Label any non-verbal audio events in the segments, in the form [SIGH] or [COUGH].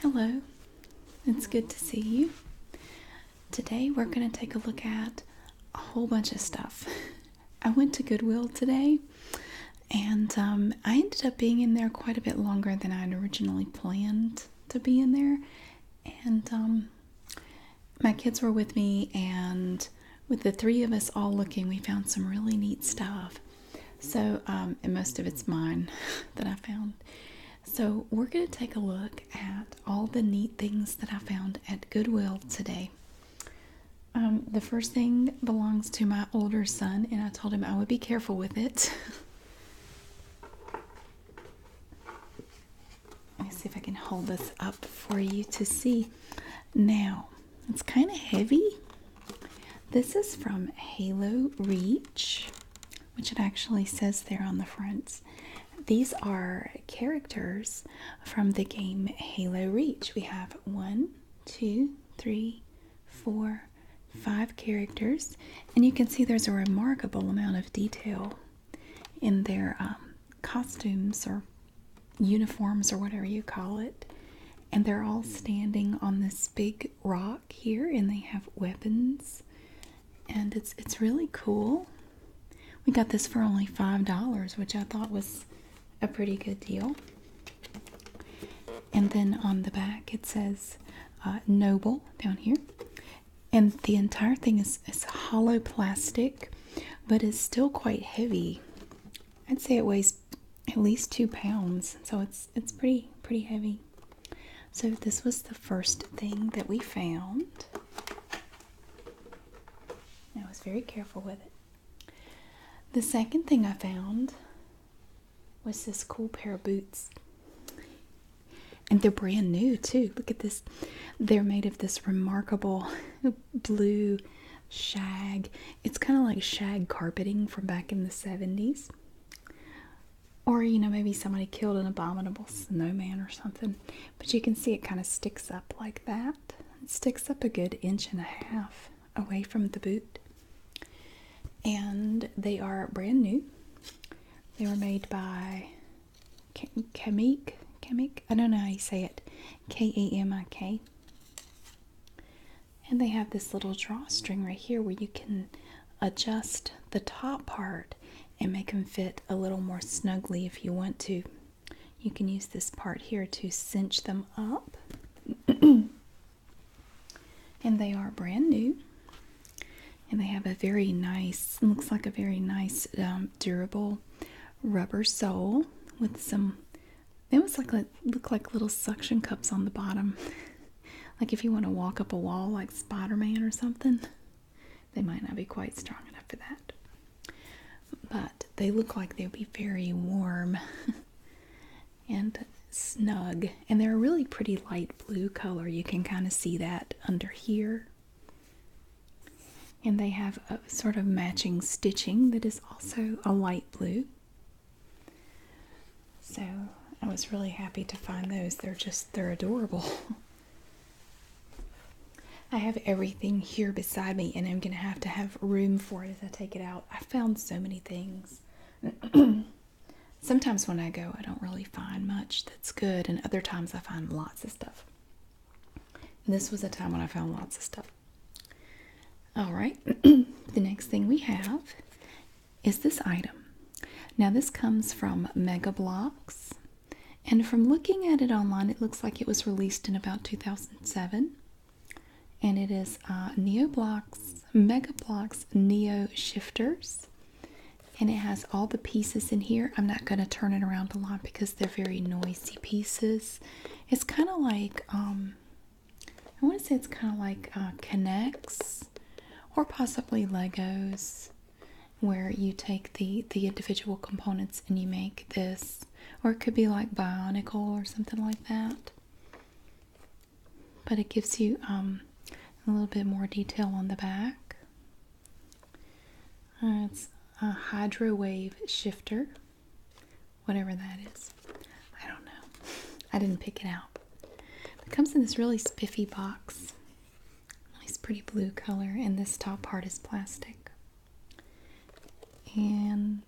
Hello, it's good to see you. Today we're going to take a look at a whole bunch of stuff. I went to Goodwill today and um, I ended up being in there quite a bit longer than I had originally planned to be in there. And um, my kids were with me, and with the three of us all looking, we found some really neat stuff. So, um, and most of it's mine [LAUGHS] that I found. So, we're going to take a look at all the neat things that I found at Goodwill today. Um, the first thing belongs to my older son, and I told him I would be careful with it. [LAUGHS] Let me see if I can hold this up for you to see. Now, it's kind of heavy. This is from Halo Reach, which it actually says there on the front. These are characters from the game Halo Reach. We have one, two, three, four, five characters, and you can see there's a remarkable amount of detail in their um, costumes or uniforms or whatever you call it and they're all standing on this big rock here and they have weapons and it's it's really cool. We got this for only $5, which I thought was a pretty good deal. And then on the back it says uh, Noble down here. And the entire thing is, is hollow plastic, but is still quite heavy. I'd say it weighs at least two pounds, so it's it's pretty pretty heavy. So this was the first thing that we found. I was very careful with it. The second thing I found was this cool pair of boots. And they're brand new too. Look at this. They're made of this remarkable [LAUGHS] blue shag. It's kind of like shag carpeting from back in the 70s. Or, you know, maybe somebody killed an abominable snowman or something. But you can see it kind of sticks up like that. It sticks up a good inch and a half away from the boot. And they are brand new. They were made by Kemik. Kemik. I don't know how you say it. K E M I K. And they have this little drawstring right here where you can adjust the top part and make them fit a little more snugly if you want to. You can use this part here to cinch them up. [CLEARS THROAT] and they are brand new. And they have a very nice, looks like a very nice um, durable rubber sole with some they almost like, look like little suction cups on the bottom. [LAUGHS] like if you want to walk up a wall like Spider Man or something, they might not be quite strong enough for that. But they look like they'll be very warm [LAUGHS] and snug. And they're a really pretty light blue color. You can kind of see that under here. And they have a sort of matching stitching that is also a light blue. So I was really happy to find those. They're just, they're adorable. [LAUGHS] I have everything here beside me and I'm going to have to have room for it as I take it out. I found so many things. [CLEARS THROAT] Sometimes when I go, I don't really find much that's good, and other times I find lots of stuff. this was a time when I found lots of stuff. All right, [CLEARS THROAT] the next thing we have is this item. Now, this comes from Megablocks, and from looking at it online, it looks like it was released in about 2007. And it is uh, Neoblocks, Megablocks Neo Shifters. And it has all the pieces in here. I'm not going to turn it around a lot because they're very noisy pieces. It's kind of like um, I want to say it's kind of like uh, Connects or possibly Legos, where you take the the individual components and you make this, or it could be like Bionicle or something like that. But it gives you um, a little bit more detail on the back. Uh, it's a hydro wave shifter whatever that is. I don't know. I didn't pick it out. It comes in this really spiffy box. Nice pretty blue color and this top part is plastic. And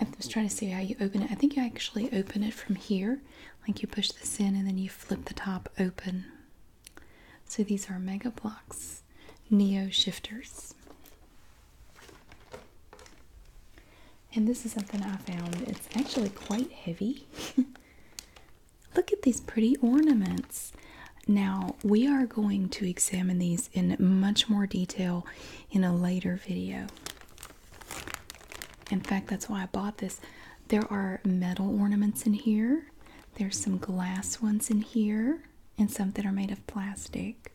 I was trying to see how you open it. I think you actually open it from here. Like you push this in and then you flip the top open. So these are Mega Blocks Neo Shifters. And this is something I found. It's actually quite heavy. [LAUGHS] Look at these pretty ornaments. Now, we are going to examine these in much more detail in a later video. In fact, that's why I bought this. There are metal ornaments in here, there's some glass ones in here, and some that are made of plastic.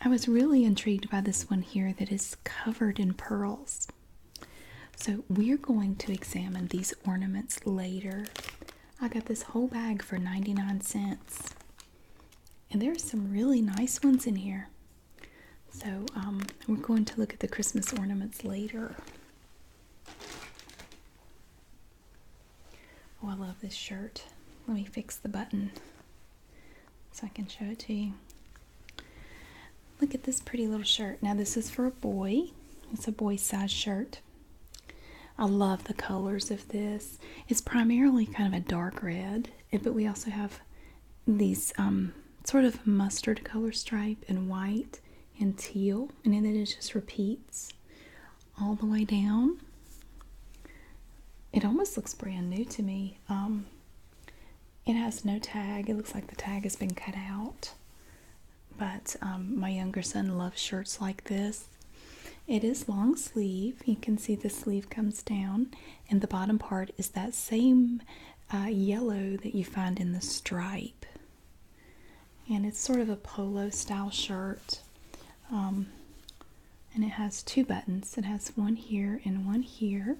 I was really intrigued by this one here that is covered in pearls. So, we're going to examine these ornaments later. I got this whole bag for 99 cents, and there are some really nice ones in here. So, um, we're going to look at the Christmas ornaments later. Oh, I love this shirt. Let me fix the button so I can show it to you. Look at this pretty little shirt. Now, this is for a boy, it's a boy size shirt. I love the colors of this. It's primarily kind of a dark red, but we also have these um, sort of mustard color stripe and white and teal, and then it just repeats all the way down. It almost looks brand new to me. Um, it has no tag. It looks like the tag has been cut out. But um, my younger son loves shirts like this. It is long sleeve. You can see the sleeve comes down, and the bottom part is that same uh, yellow that you find in the stripe. And it's sort of a polo style shirt. Um, and it has two buttons. It has one here and one here.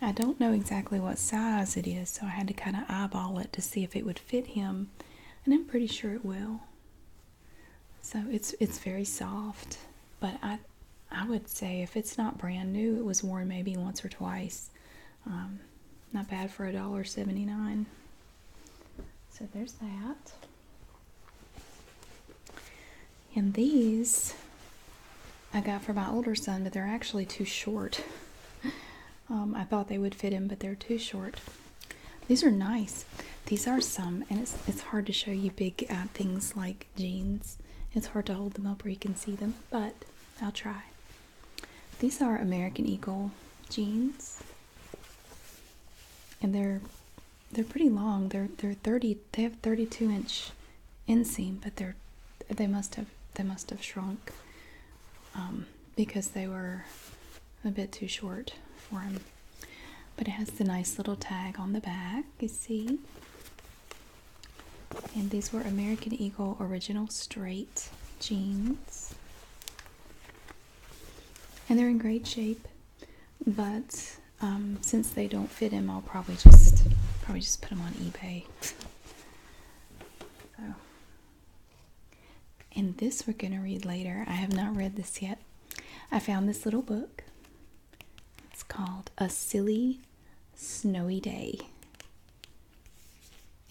I don't know exactly what size it is, so I had to kind of eyeball it to see if it would fit him, and I'm pretty sure it will. So it's it's very soft, but I I would say if it's not brand new, it was worn maybe once or twice. Um, not bad for a dollar seventy nine. So there's that. And these I got for my older son, but they're actually too short. Um, I thought they would fit him, but they're too short. These are nice. These are some, and it's, it's hard to show you big uh, things like jeans. It's hard to hold them up where you can see them, but I'll try. These are American Eagle jeans, and they're they're pretty long. They're they're 30. They have 32 inch inseam, but they're they must have they must have shrunk um, because they were a bit too short for him. But it has the nice little tag on the back. You see. And these were American Eagle original straight jeans. And they're in great shape, but um, since they don't fit him, I'll probably just probably just put them on eBay. and this we're gonna read later. I have not read this yet. I found this little book. It's called A Silly Snowy Day,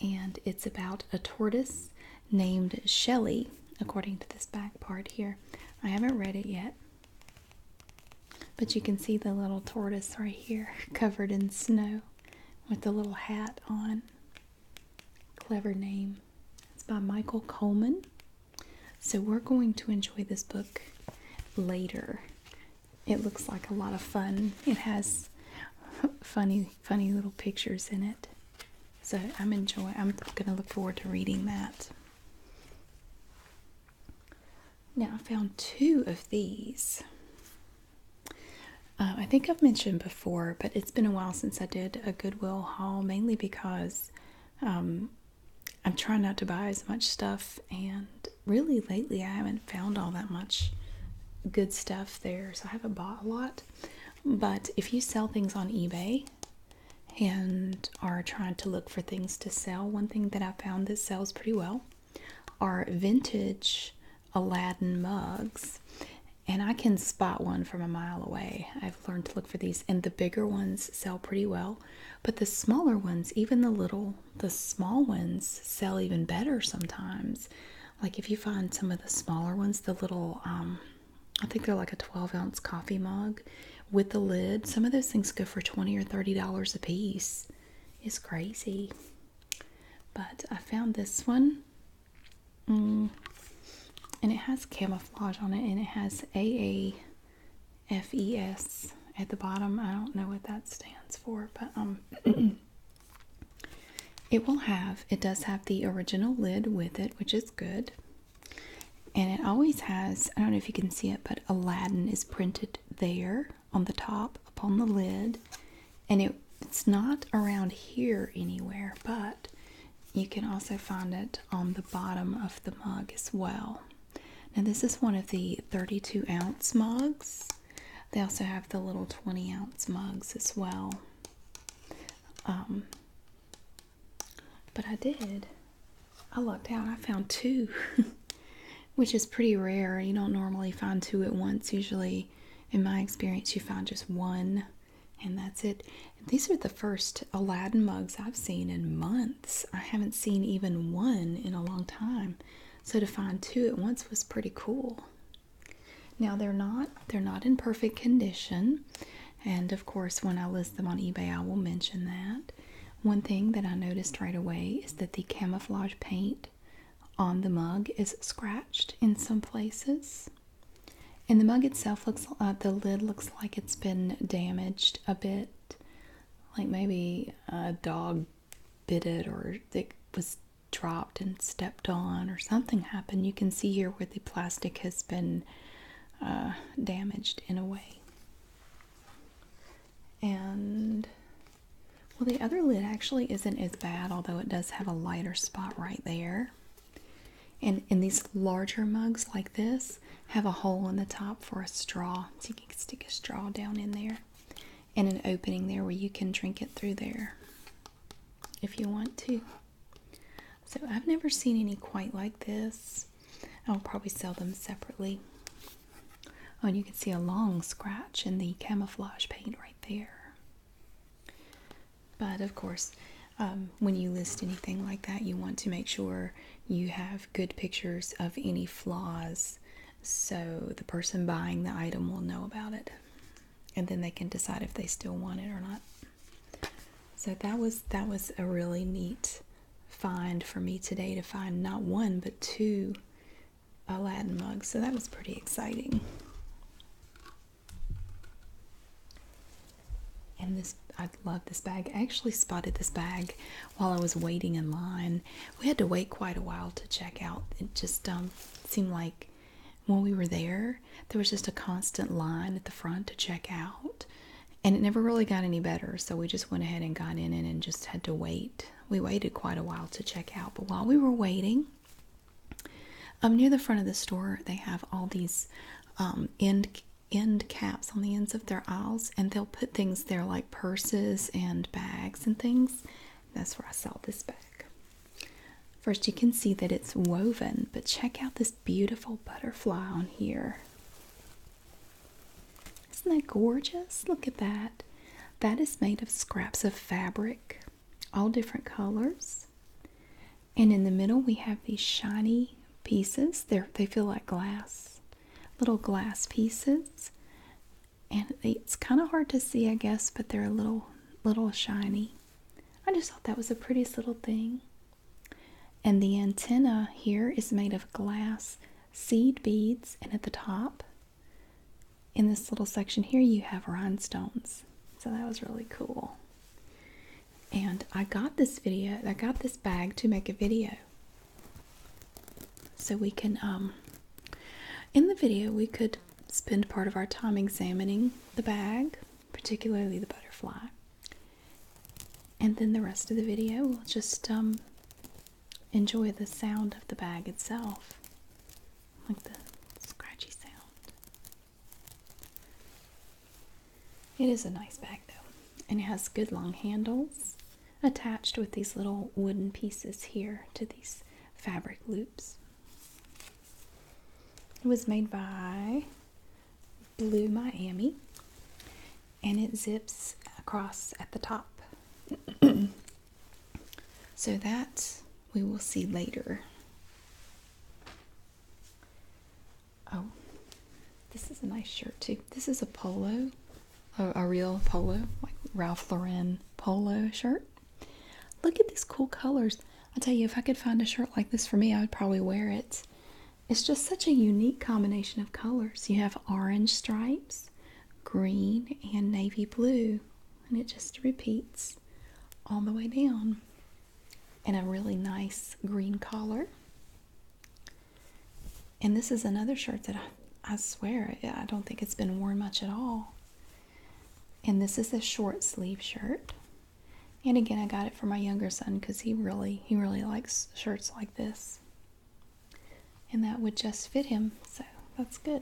and it's about a tortoise named Shelley. According to this back part here, I haven't read it yet. But you can see the little tortoise right here, [LAUGHS] covered in snow, with the little hat on. Clever name. It's by Michael Coleman. So we're going to enjoy this book later. It looks like a lot of fun. It has [LAUGHS] funny, funny little pictures in it. So I'm enjoying. I'm going to look forward to reading that. Now I found two of these. Uh, I think I've mentioned before, but it's been a while since I did a Goodwill haul, mainly because um, I'm trying not to buy as much stuff, and really lately I haven't found all that much good stuff there, so I haven't bought a lot. But if you sell things on eBay, and are trying to look for things to sell, one thing that I found that sells pretty well are vintage Aladdin mugs. And I can spot one from a mile away. I've learned to look for these, and the bigger ones sell pretty well, but the smaller ones, even the little, the small ones, sell even better sometimes. Like if you find some of the smaller ones, the little um, I think they're like a 12 ounce coffee mug with the lid. Some of those things go for 20 or 30 dollars a piece. It's crazy. But I found this one. Mm, and it has camouflage on it and it has AAFES at the bottom. I don't know what that stands for, but um [CLEARS THROAT] it will have it does have the original lid with it, which is good. And it always has, I don't know if you can see it, but Aladdin is printed there on the top, upon the lid. And it's not around here anywhere, but you can also find it on the bottom of the mug as well. Now, this is one of the 32 ounce mugs. They also have the little 20 ounce mugs as well. Um, but I did. I looked out. I found two, [LAUGHS] which is pretty rare. You don't normally find two at once. Usually, in my experience, you find just one, and that's it. These are the first Aladdin mugs I've seen in months. I haven't seen even one in a long time. So to find two at once was pretty cool. Now they're not they're not in perfect condition. And of course, when I list them on eBay, I will mention that. One thing that I noticed right away is that the camouflage paint on the mug is scratched in some places. And the mug itself looks, uh, the lid looks like it's been damaged a bit. Like maybe a dog bit it or it was dropped and stepped on or something happened. You can see here where the plastic has been uh, damaged in a way. And well, the other lid actually isn't as bad, although it does have a lighter spot right there. And, in these larger mugs like this have a hole in the top for a straw, so you can stick a straw down in there, and an opening there where you can drink it through there if you want to. So I've never seen any quite like this. I'll probably sell them separately. Oh, and you can see a long scratch in the camouflage paint right there. But of course, um, when you list anything like that, you want to make sure you have good pictures of any flaws so the person buying the item will know about it and then they can decide if they still want it or not. So that was that was a really neat find for me today to find not one but two Aladdin mugs. So that was pretty exciting. And this I love this bag. I actually spotted this bag while I was waiting in line. We had to wait quite a while to check out. It just um, seemed like when we were there, there was just a constant line at the front to check out and it never really got any better so we just went ahead and got in and just had to wait we waited quite a while to check out but while we were waiting um, near the front of the store they have all these um, end end caps on the ends of their aisles and they'll put things there like purses and bags and things that's where i saw this bag first you can see that it's woven but check out this beautiful butterfly on here. Isn't that gorgeous? Look at that. That is made of scraps of fabric, all different colors. And in the middle, we have these shiny pieces. they feel like glass, little glass pieces. And it's kind of hard to see, I guess, but they're a little, little shiny. I just thought that was the prettiest little thing. And the antenna here is made of glass seed beads, and at the top, in this little section here, you have rhinestones. So that was really cool. And I got this video, I got this bag to make a video. So we can, um, in the video, we could spend part of our time examining the bag, particularly the butterfly, and then the rest of the video will just um, enjoy the sound of the bag itself, like the scratchy sound. It is a nice bag though, and it has good long handles attached with these little wooden pieces here to these fabric loops. It was made by Blue Miami, and it zips across at the top. [CLEARS THROAT] so that we will see later. Oh, this is a nice shirt too. This is a polo, a, a real polo, like Ralph Lauren polo shirt. Look at these cool colors. I tell you, if I could find a shirt like this for me, I would probably wear it. It's just such a unique combination of colors. You have orange stripes, green, and navy blue, and it just repeats all the way down. And a really nice green collar. And this is another shirt that I, swear, I don't think it's been worn much at all. And this is a short sleeve shirt. And again, I got it for my younger son because he really, he really likes shirts like this. And that would just fit him, so that's good.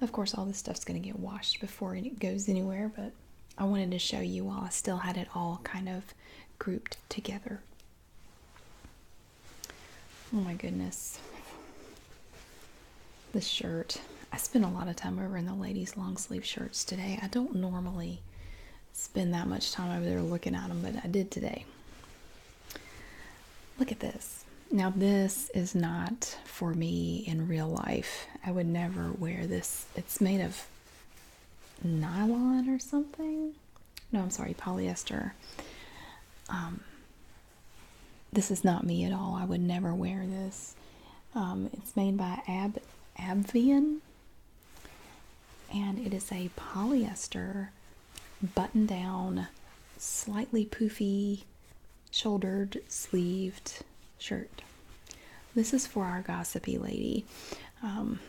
Of course, all this stuff's going to get washed before it goes anywhere, but I wanted to show you while I still had it all kind of grouped together. Oh my goodness. The shirt, I spent a lot of time over in the ladies' long sleeve shirts today. I don't normally spend that much time over there looking at them, but I did today. Look at this. Now, this is not for me in real life. I would never wear this. It's made of nylon or something. No, I'm sorry, polyester. Um, this is not me at all. I would never wear this. Um, it's made by Ab Abvian, and it is a polyester button-down, slightly poofy, shouldered, sleeved shirt. This is for our gossipy lady. Um,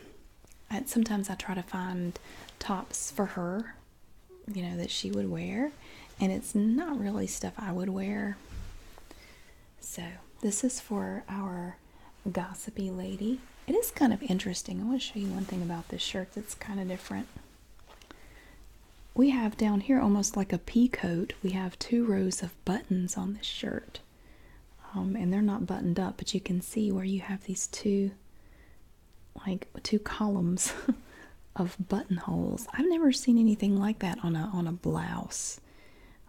sometimes I try to find tops for her, you know, that she would wear, and it's not really stuff I would wear. So, this is for our gossipy lady. It is kind of interesting. I want to show you one thing about this shirt that's kind of different. We have down here almost like a pea coat, we have two rows of buttons on this shirt. Um, and they're not buttoned up, but you can see where you have these two, like two columns [LAUGHS] of buttonholes. I've never seen anything like that on a on a blouse.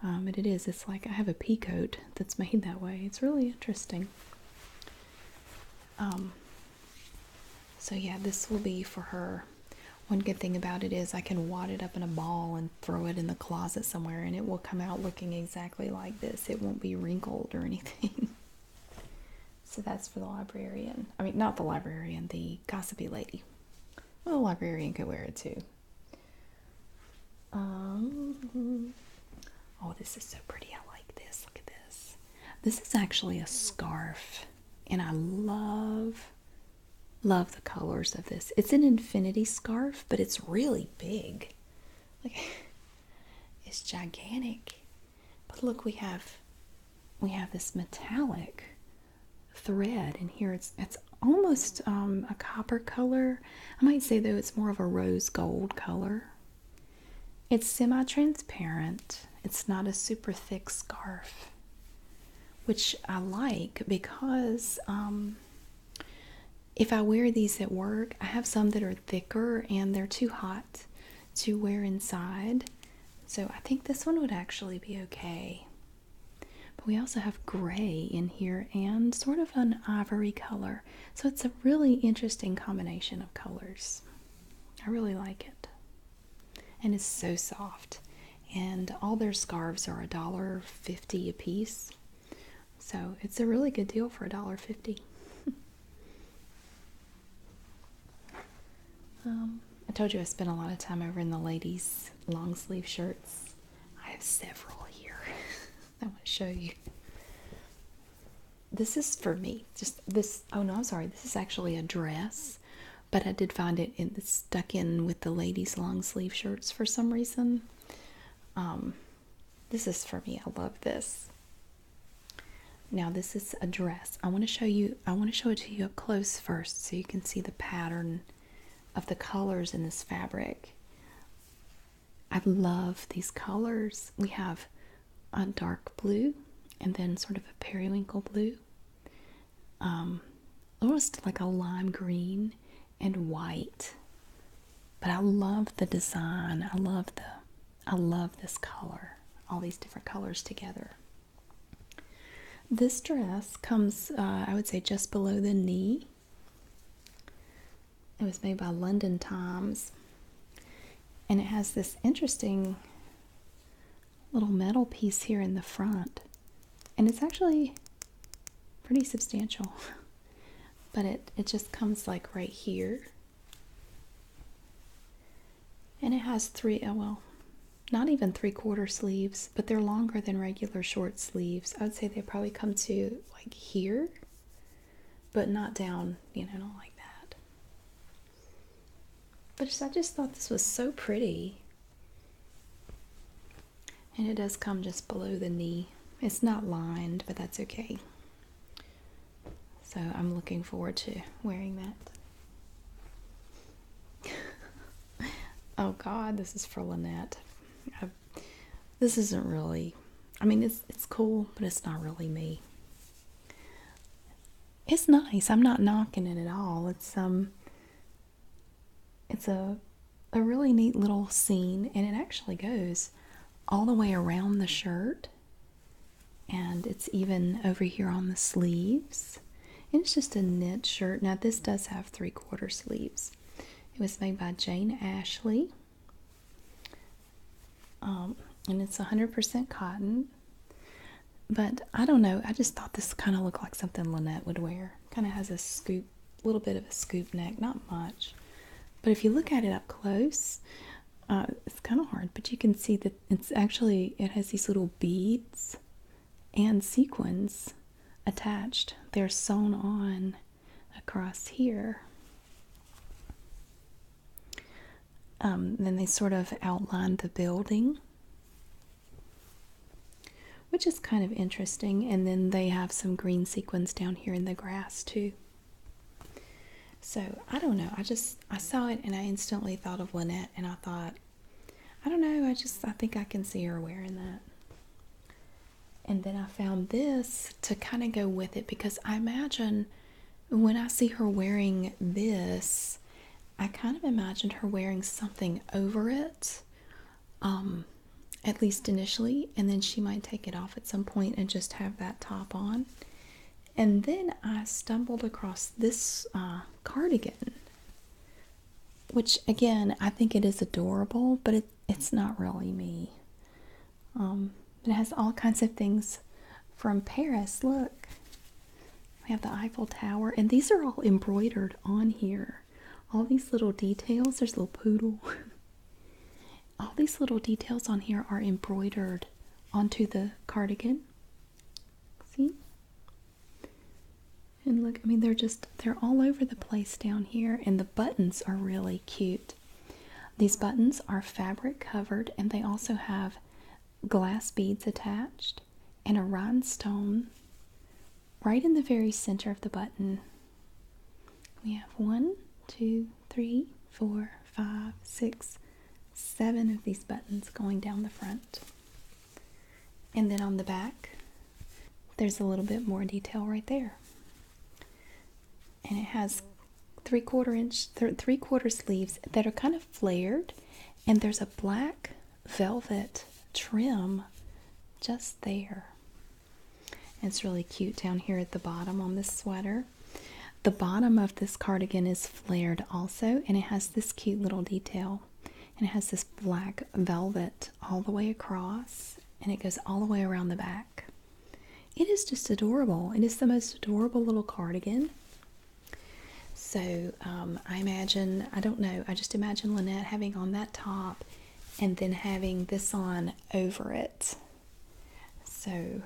Um, but it is it's like I have a pea coat that's made that way it's really interesting um, so yeah this will be for her one good thing about it is I can wad it up in a ball and throw it in the closet somewhere and it will come out looking exactly like this it won't be wrinkled or anything [LAUGHS] so that's for the librarian I mean not the librarian the gossipy lady well, a librarian could wear it too. Um, oh, this is so pretty. I like this. Look at this. This is actually a scarf, and I love, love the colors of this. It's an infinity scarf, but it's really big. Like, [LAUGHS] it's gigantic. But look, we have, we have this metallic thread in here it's it's almost um, a copper color i might say though it's more of a rose gold color it's semi-transparent it's not a super thick scarf which i like because um, if i wear these at work i have some that are thicker and they're too hot to wear inside so i think this one would actually be okay but we also have gray in here and sort of an ivory color. So it's a really interesting combination of colors. I really like it. And it's so soft. And all their scarves are $1.50 a piece. So it's a really good deal for $1.50. [LAUGHS] Um, I told you I spent a lot of time over in the ladies' long sleeve shirts. I have several here. [LAUGHS] I want to show you. This is for me. Just this. Oh no, I'm sorry. This is actually a dress, but I did find it in, stuck in with the ladies' long sleeve shirts for some reason. Um, this is for me. I love this. Now this is a dress. I want to show you. I want to show it to you up close first, so you can see the pattern of the colors in this fabric. I love these colors. We have a dark blue and then sort of a periwinkle blue, um, almost like a lime green and white. But I love the design. I love the I love this color. All these different colors together. This dress comes, uh, I would say, just below the knee. It was made by London Times. And it has this interesting little metal piece here in the front. And it's actually pretty substantial. [LAUGHS] But it, it just comes like right here. And it has three. Oh, well, not even three quarter sleeves, but they're longer than regular short sleeves. I would say they probably come to like here, but not down, you know, not like that. But just, I just thought this was so pretty. And it does come just below the knee. It's not lined, but that's okay. So I'm looking forward to wearing that. [LAUGHS] oh God, this is for Lynette. this isn't really. I mean, it's it's cool, but it's not really me. It's nice. I'm not knocking it at all. It's um. It's a a really neat little scene, and it actually goes all the way around the shirt, and it's even over here on the sleeves. And it's just a knit shirt. Now, this does have three quarter sleeves. It was made by Jane Ashley. Um, and it's 100% cotton. But I don't know. I just thought this kind of looked like something Lynette would wear. Kind of has a scoop, little bit of a scoop neck, not much. But if you look at it up close, uh, it's kind of hard, but you can see that it's actually, it has these little beads and sequins attached. They're sewn on across here. Um, then they sort of outline the building, which is kind of interesting. And then they have some green sequins down here in the grass, too. So I don't know. I just I saw it and I instantly thought of Lynette and I thought I don't know. I just I think I can see her wearing that. And then I found this to kind of go with it because I imagine when I see her wearing this, I kind of imagined her wearing something over it, um, at least initially, and then she might take it off at some point and just have that top on. And then I stumbled across this uh, cardigan which again I think it is adorable, but it's not really me. Um, it has all kinds of things from Paris. Look, we have the Eiffel Tower, and these are all embroidered on here. All these little details. There's a little poodle. [LAUGHS] all these little details on here are embroidered onto the cardigan. See? And look, I mean, they're just, they're all over the place down here, and the buttons are really cute. These buttons are fabric covered, and they also have glass beads attached and a rhinestone right in the very center of the button. We have one, two, three, four, five, six, seven of these buttons going down the front. And then on the back, there's a little bit more detail right there. And it has three quarter inch, three quarter sleeves that are kind of flared, and there's a black velvet trim just there. It's really cute down here at the bottom on this sweater. The bottom of this cardigan is flared also, and it has this cute little detail and it has this black velvet all the way across and it goes all the way around the back. It is just adorable. It is the most adorable little cardigan. So um, I imagine, I don't know, I just imagine Lynette having on that top and then having this on over it. So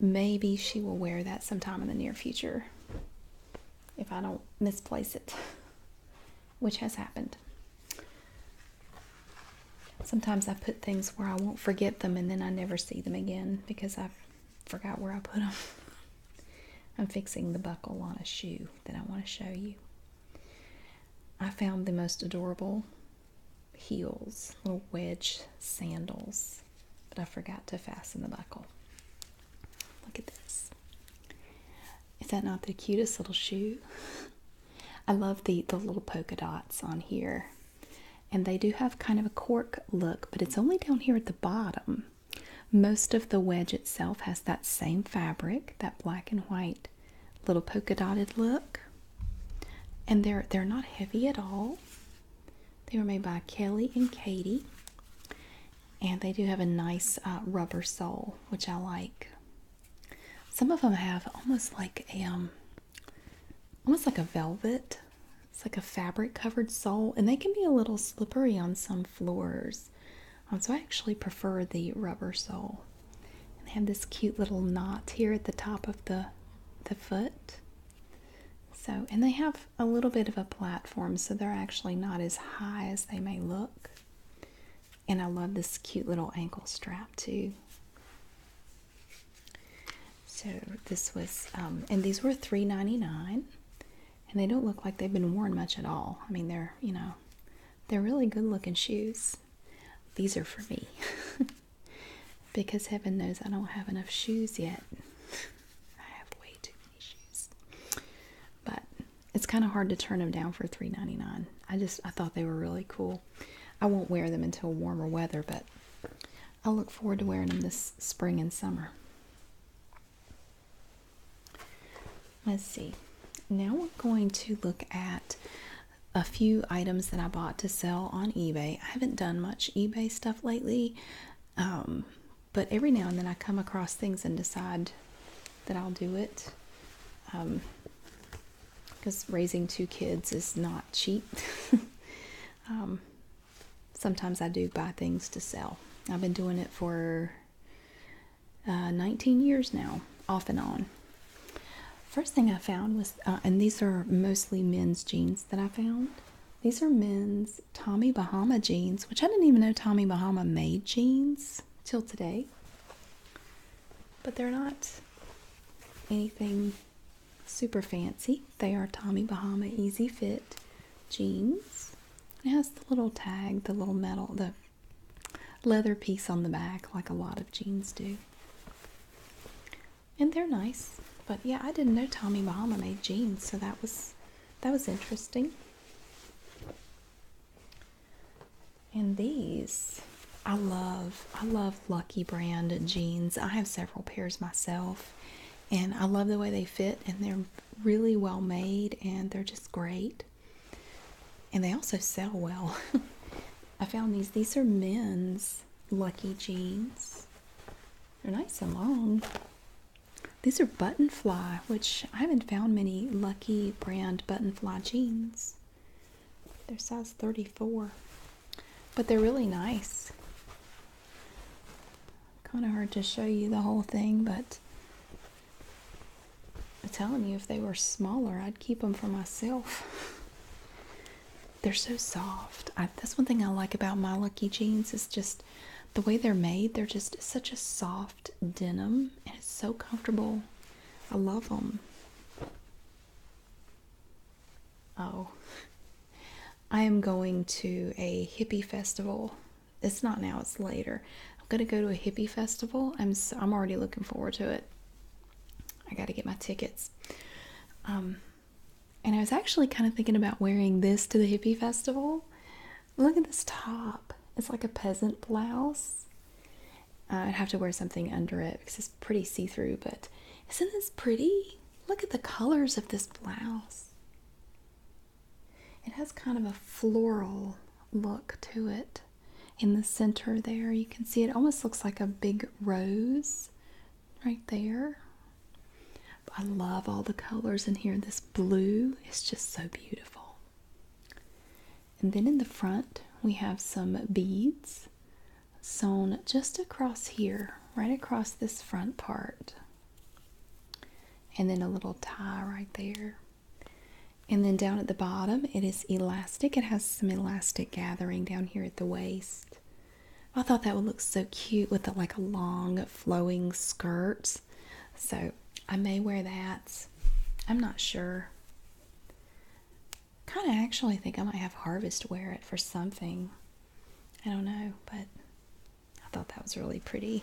maybe she will wear that sometime in the near future if I don't misplace it, which has happened. Sometimes I put things where I won't forget them and then I never see them again because I forgot where I put them. [LAUGHS] I'm fixing the buckle on a shoe that I want to show you. I found the most adorable heels, little wedge sandals, but I forgot to fasten the buckle. Look at this. Is that not the cutest little shoe? [LAUGHS] I love the, the little polka dots on here. And they do have kind of a cork look, but it's only down here at the bottom. Most of the wedge itself has that same fabric, that black and white little polka dotted look. And they're they're not heavy at all. They were made by Kelly and Katie and they do have a nice uh, rubber sole, which I like. Some of them have almost like a um, almost like a velvet. It's like a fabric covered sole, and they can be a little slippery on some floors. Um, so I actually prefer the rubber sole. And they have this cute little knot here at the top of the the foot. So, and they have a little bit of a platform, so they're actually not as high as they may look. And I love this cute little ankle strap too. So this was, um, and these were three ninety nine, and they don't look like they've been worn much at all. I mean, they're, you know, they're really good looking shoes. These are for me. [LAUGHS] because heaven knows I don't have enough shoes yet. I have way too issues. But it's kind of hard to turn them down for $3.99. I just I thought they were really cool. I won't wear them until warmer weather, but I look forward to wearing them this spring and summer. Let's see. Now we're going to look at a few items that I bought to sell on eBay. I haven't done much eBay stuff lately. Um, but every now and then I come across things and decide that I'll do it. Because um, raising two kids is not cheap. [LAUGHS] Um, sometimes I do buy things to sell. I've been doing it for uh, 19 years now, off and on. First thing I found was, uh, and these are mostly men's jeans that I found. These are men's Tommy Bahama jeans, which I didn't even know Tommy Bahama made jeans till today. But they're not anything super fancy. They are Tommy Bahama Easy Fit jeans. It has the little tag, the little metal, the leather piece on the back, like a lot of jeans do. And they're nice. But yeah, I didn't know Tommy Bahama made jeans, so that was that was interesting. And these, I love. I love Lucky brand jeans. I have several pairs myself, and I love the way they fit, and they're really well made, and they're just great. And they also sell well. [LAUGHS] I found these. These are men's Lucky jeans. They're nice and long. These are button fly, which I haven't found many lucky brand button fly jeans. They're size 34, but they're really nice. Kind of hard to show you the whole thing, but I'm telling you, if they were smaller, I'd keep them for myself. [LAUGHS] They're so soft. that's one thing I like about my lucky jeans is just the way they're made, they're just such a soft denim and it's so comfortable. I love them. Oh, I am going to a hippie festival. It's not now, it's later. I'm going to go to a hippie festival. I'm I'm already looking forward to it. I got to get my tickets. Um and I was actually kind of thinking about wearing this to the hippie festival, Look at this top. It's like a peasant blouse. I'd have to wear something under it because it's pretty see through, but isn't this pretty? Look at the colors of this blouse. It has kind of a floral look to it. In the center, there, you can see it almost looks like a big rose right there I love all the colors in here. This blue is just so beautiful. And then in the front, we have some beads sewn just across here, right across this front part. And then a little tie right there. And then down at the bottom, it is elastic. It has some elastic gathering down here at the waist. I thought that would look so cute with like a long flowing skirt so I may wear that. I'm not sure. Kind of actually think I might have Harvest wear it for something. I don't know, but I thought that was really pretty.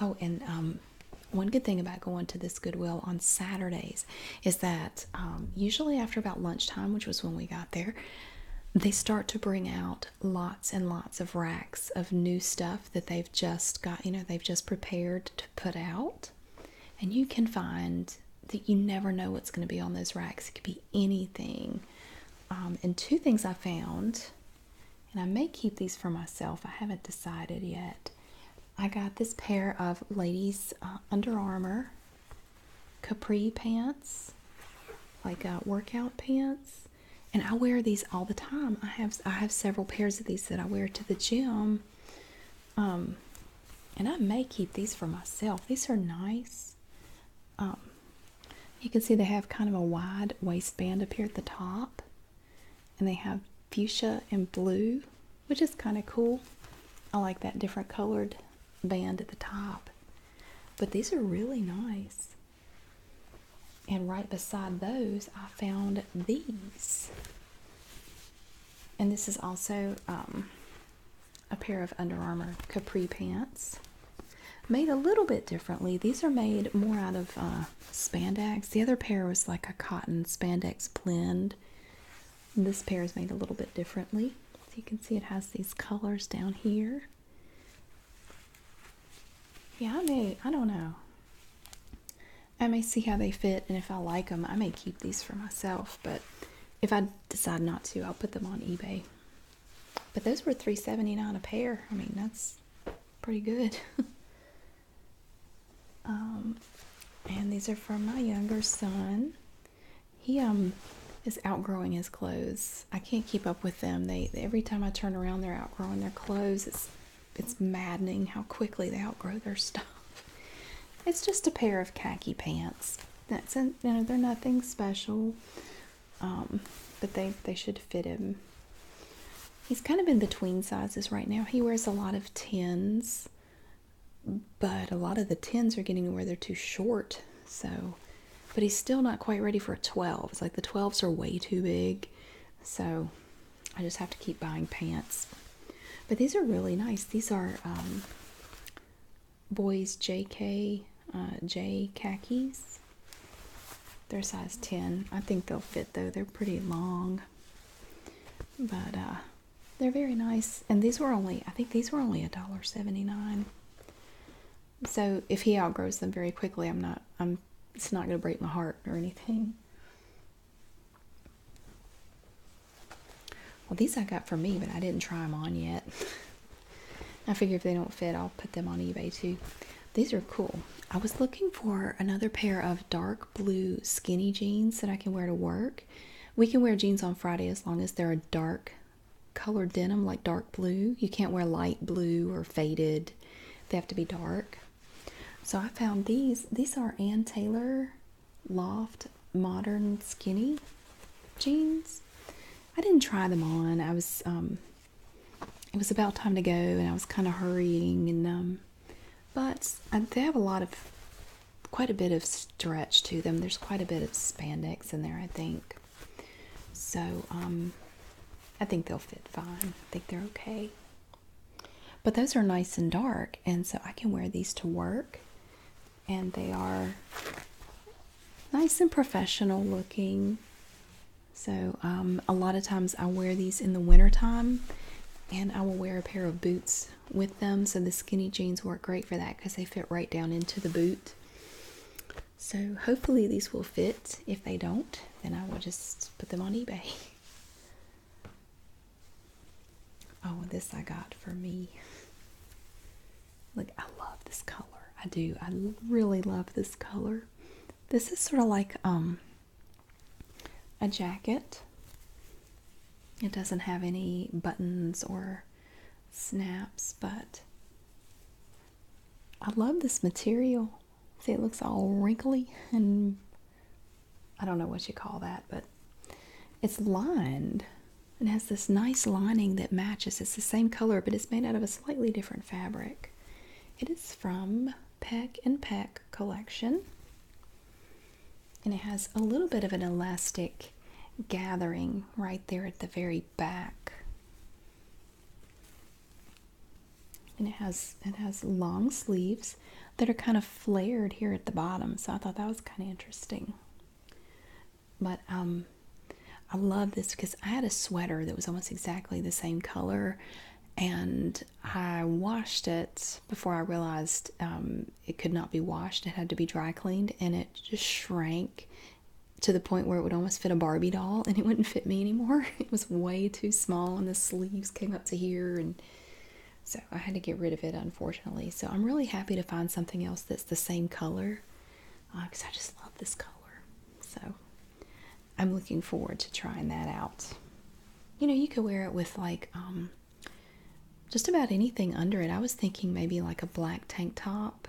Oh, and um, one good thing about going to this Goodwill on Saturdays is that um, usually after about lunchtime, which was when we got there, they start to bring out lots and lots of racks of new stuff that they've just got, you know, they've just prepared to put out. And you can find that you never know what's going to be on those racks. It could be anything. Um, and two things I found, and I may keep these for myself, I haven't decided yet. I got this pair of ladies' uh, Under Armour capri pants, like uh, workout pants, and I wear these all the time. I have I have several pairs of these that I wear to the gym. Um, and I may keep these for myself. These are nice. Um, you can see they have kind of a wide waistband up here at the top, and they have fuchsia and blue, which is kind of cool. I like that different colored band at the top. But these are really nice. And right beside those, I found these. And this is also um, a pair of Under Armour Capri pants. Made a little bit differently. These are made more out of uh, spandex. The other pair was like a cotton spandex blend. This pair is made a little bit differently. So you can see it has these colors down here. Yeah, I may, I don't know. I may see how they fit and if I like them, I may keep these for myself, but if I decide not to, I'll put them on eBay. But those were 3.79 a pair. I mean, that's pretty good. [LAUGHS] um, and these are for my younger son. He um, is outgrowing his clothes. I can't keep up with them. They every time I turn around, they're outgrowing their clothes. It's it's maddening how quickly they outgrow their [LAUGHS] stuff. It's just a pair of khaki pants. That's you know they're nothing special, um, but they they should fit him. He's kind of in between sizes right now. He wears a lot of tins, but a lot of the tins are getting where they're too short. So but he's still not quite ready for a 12. It's like the 12s are way too big. So I just have to keep buying pants. But these are really nice. These are um, boys JK, uh, J khakis. They're size 10. I think they'll fit though. They're pretty long. But uh, they're very nice. And these were only, I think these were only $1.79. So if he outgrows them very quickly, I'm not I'm it's not going to break my heart or anything. Well, these I got for me, but I didn't try them on yet. [LAUGHS] I figure if they don't fit, I'll put them on eBay too. These are cool. I was looking for another pair of dark blue skinny jeans that I can wear to work. We can wear jeans on Friday as long as they're dark colored denim like dark blue. You can't wear light blue or faded. They have to be dark. So I found these. These are Ann Taylor Loft Modern Skinny jeans. I didn't try them on. I was um it was about time to go and I was kind of hurrying and um but they have a lot of quite a bit of stretch to them. There's quite a bit of spandex in there, I think. So um, I think they'll fit fine. I think they're okay. But those are nice and dark, and so I can wear these to work, and they are nice and professional looking. So um, a lot of times I wear these in the wintertime and I will wear a pair of boots with them. So the skinny jeans work great for that because they fit right down into the boot. So hopefully these will fit. If they don't, then I will just put them on eBay. [LAUGHS] Oh, this I got for me. Look, I love this color. I do. I really love this color. This is sort of like um a jacket. It doesn't have any buttons or snaps, but I love this material. See, it looks all wrinkly and I don't know what you call that, but it's lined. It has this nice lining that matches. It's the same color, but it's made out of a slightly different fabric. It is from Peck and Peck collection. And it has a little bit of an elastic gathering right there at the very back. And it has it has long sleeves that are kind of flared here at the bottom. So I thought that was kind of interesting. But um, I love this because I had a sweater that was almost exactly the same color and I washed it before I realized um, it could not be washed. It had to be dry cleaned, and it just shrank to the point where it would almost fit a Barbie doll and it wouldn't fit me anymore. [LAUGHS] It was way too small and the sleeves came up to here and so I had to get rid of it unfortunately. So I'm really happy to find something else that's the same color because uh, I just love this color. So I'm looking forward to trying that out. You know, you could wear it with like um, just about anything under it. I was thinking maybe like a black tank top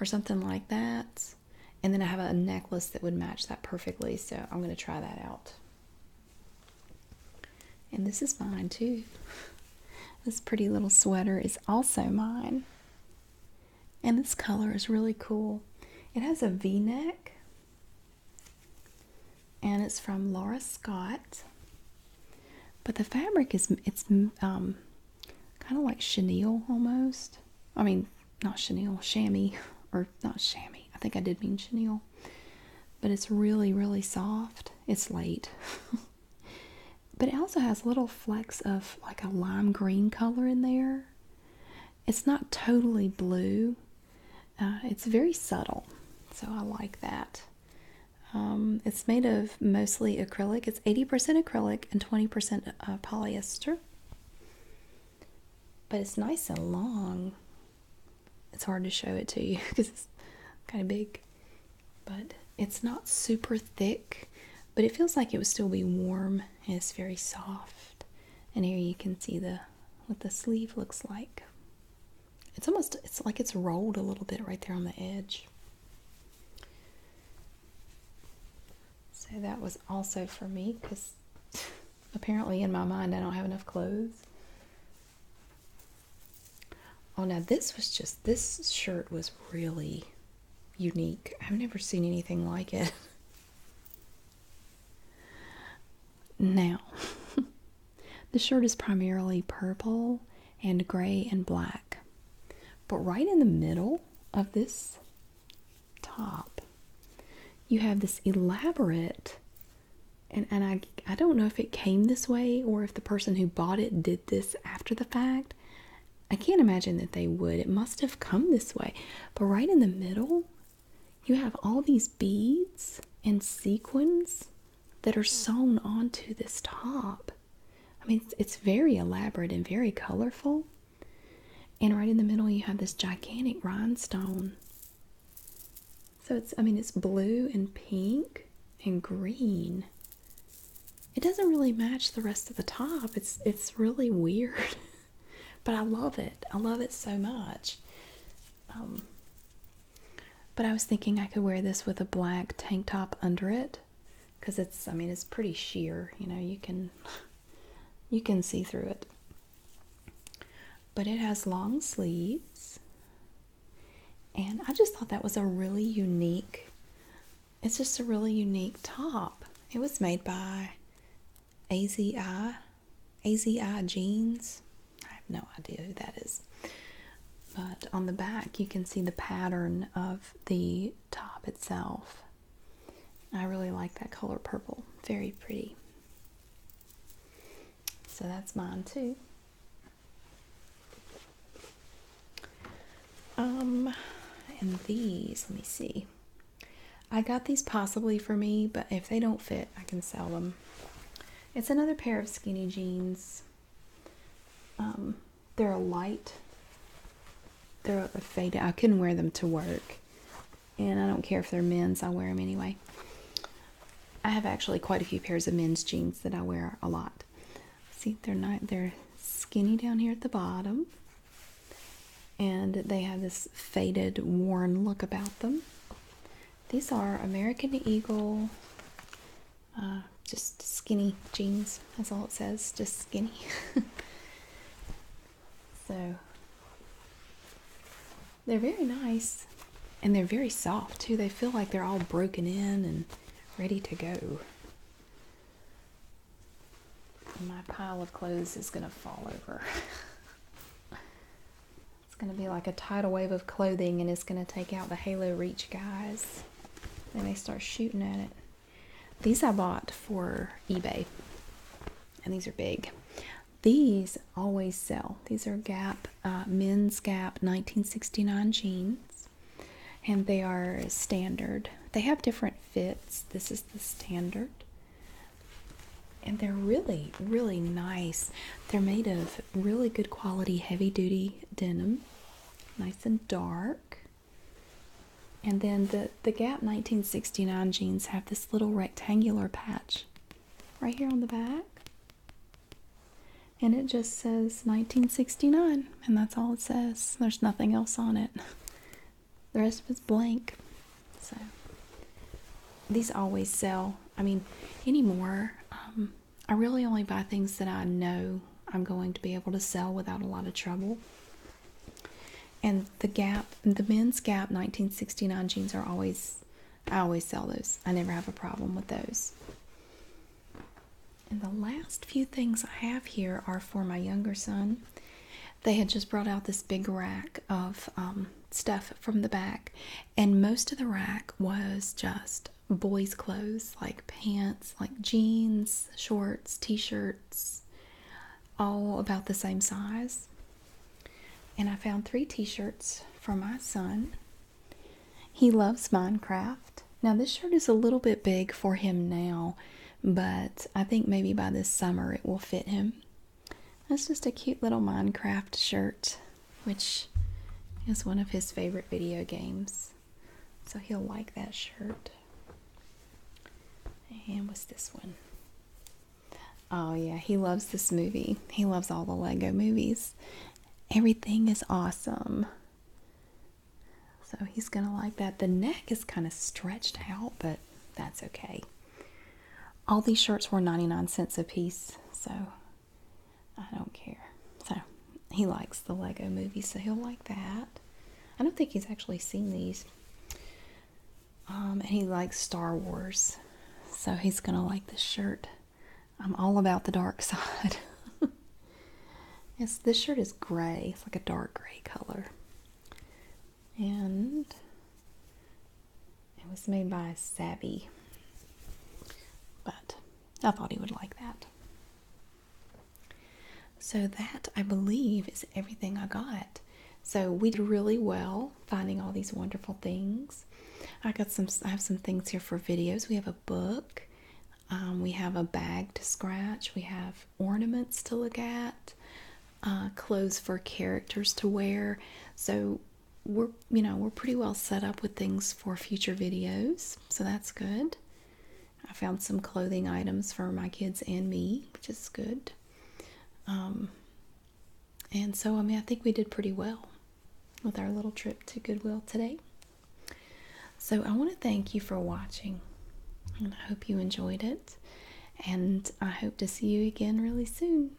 or something like that. And then I have a necklace that would match that perfectly, so I'm going to try that out. And this is mine too. This pretty little sweater is also mine. And this color is really cool. It has a v neck, and it's from Laura Scott. But the fabric is, it's um, kind of like chenille almost. I mean, not chenille, chamois, or not chamois. I think I did mean chenille. But it's really, really soft. It's light. [LAUGHS] but it also has little flecks of like a lime green color in there. It's not totally blue. Uh, it's very subtle. So I like that. Um, it's made of mostly acrylic. It's 80% acrylic and 20% uh, polyester. But it's nice and long. It's hard to show it to you because [LAUGHS] it's kind of big. But it's not super thick, but it feels like it would still be warm. And it's very soft. And here you can see the what the sleeve looks like. It's almost it's like it's rolled a little bit right there on the edge. So that was also for me because apparently in my mind I don't have enough clothes. Oh, now this was just, this shirt was really unique. I've never seen anything like it. Now, [LAUGHS] the shirt is primarily purple and gray and black. But right in the middle of this top, you have this elaborate, and, and I, I don't know if it came this way or if the person who bought it did this after the fact. I can't imagine that they would. It must have come this way. But right in the middle, you have all these beads and sequins that are sewn onto this top. I mean, it's, very elaborate and very colorful. And right in the middle, you have this gigantic rhinestone. So it's, I mean, it's blue and pink and green. It doesn't really match the rest of the top. It's it's really weird, [LAUGHS] but I love it. I love it so much. Um, but I was thinking I could wear this with a black tank top under it, because it's I mean it's pretty sheer you know you can you can see through it but it has long sleeves and I just thought that was a really unique it's just a really unique top it was made by AZI AZI jeans I have no idea who that is but on the back, you can see the pattern of the top itself. I really like that color purple, very pretty. So that's mine too. Um, and these, let me see. I got these possibly for me, but if they don't fit, I can sell them. It's another pair of skinny jeans. Um, they're a light. They're a faded. I can wear them to work. And I don't care if they're men's, I wear them anyway. I have actually quite a few pairs of men's jeans that I wear a lot. See, they're not they're skinny down here at the bottom. And they have this faded, worn look about them. These are American Eagle uh, just skinny jeans, that's all it says, just skinny. [LAUGHS] so they're very nice and they're very soft too. They feel like they're all broken in and ready to go. My pile of clothes is going to fall over. [LAUGHS] it's going to be like a tidal wave of clothing and it's going to take out the Halo Reach guys this. And they start shooting at it. These I bought for eBay. And these are big. These always sell. These are Gap, uh, men's Gap 1969 jeans. And they are standard. They have different fits. This is the standard. And they're really, really nice. They're made of really good quality heavy duty denim nice and dark. And then the, the Gap 1969 jeans have this little rectangular patch right here on the back. And it just says 1969, and that's all it says. There's nothing else on it. The rest of it's blank. So these always sell. I mean, anymore, um, I really only buy things that I know I'm going to be able to sell without a lot of trouble. And the Gap, the Men's Gap 1969 jeans are always, I always sell those. I never have a problem with those. And the last few things I have here are for my younger son. They had just brought out this big rack of um, stuff from the back, and most of the rack was just boys' clothes like pants, like jeans, shorts, t shirts, all about the same size. And I found three t shirts for my son. He loves Minecraft. Now, this shirt is a little bit big for him now, but I think maybe by this summer it will fit him. That's just a cute little Minecraft shirt, which is one of his favorite video games. So he'll like that shirt. And what's this one? Oh, yeah, he loves this movie. He loves all the Lego movies. Everything is awesome. So he's going to like that. The neck is kind of stretched out, but that's okay. All these shirts were 99 cents a piece, so I don't care. So he likes the Lego movie, so he'll like that. I don't think he's actually seen these. Um, and he likes Star Wars, so he's gonna like this shirt. I'm all about the dark [LAUGHS] side. yes, this shirt is gray. It's like a dark gray color, and it was made by Savvy. But I thought he would like that. So, that I believe is everything I got. So, we did really well finding all these wonderful things. I got some, I have some things here for videos. We have a book, um, we have a bag to scratch, we have ornaments to look at, uh, clothes for characters to wear. So, we're you know we're pretty well set up with things for future videos so that's good I found some clothing items for my kids and me, which is good. Um, and so, I mean, I think we did pretty well with our little trip to Goodwill today. So, I want to thank you for watching, and I hope you enjoyed it. And I hope to see you again really soon.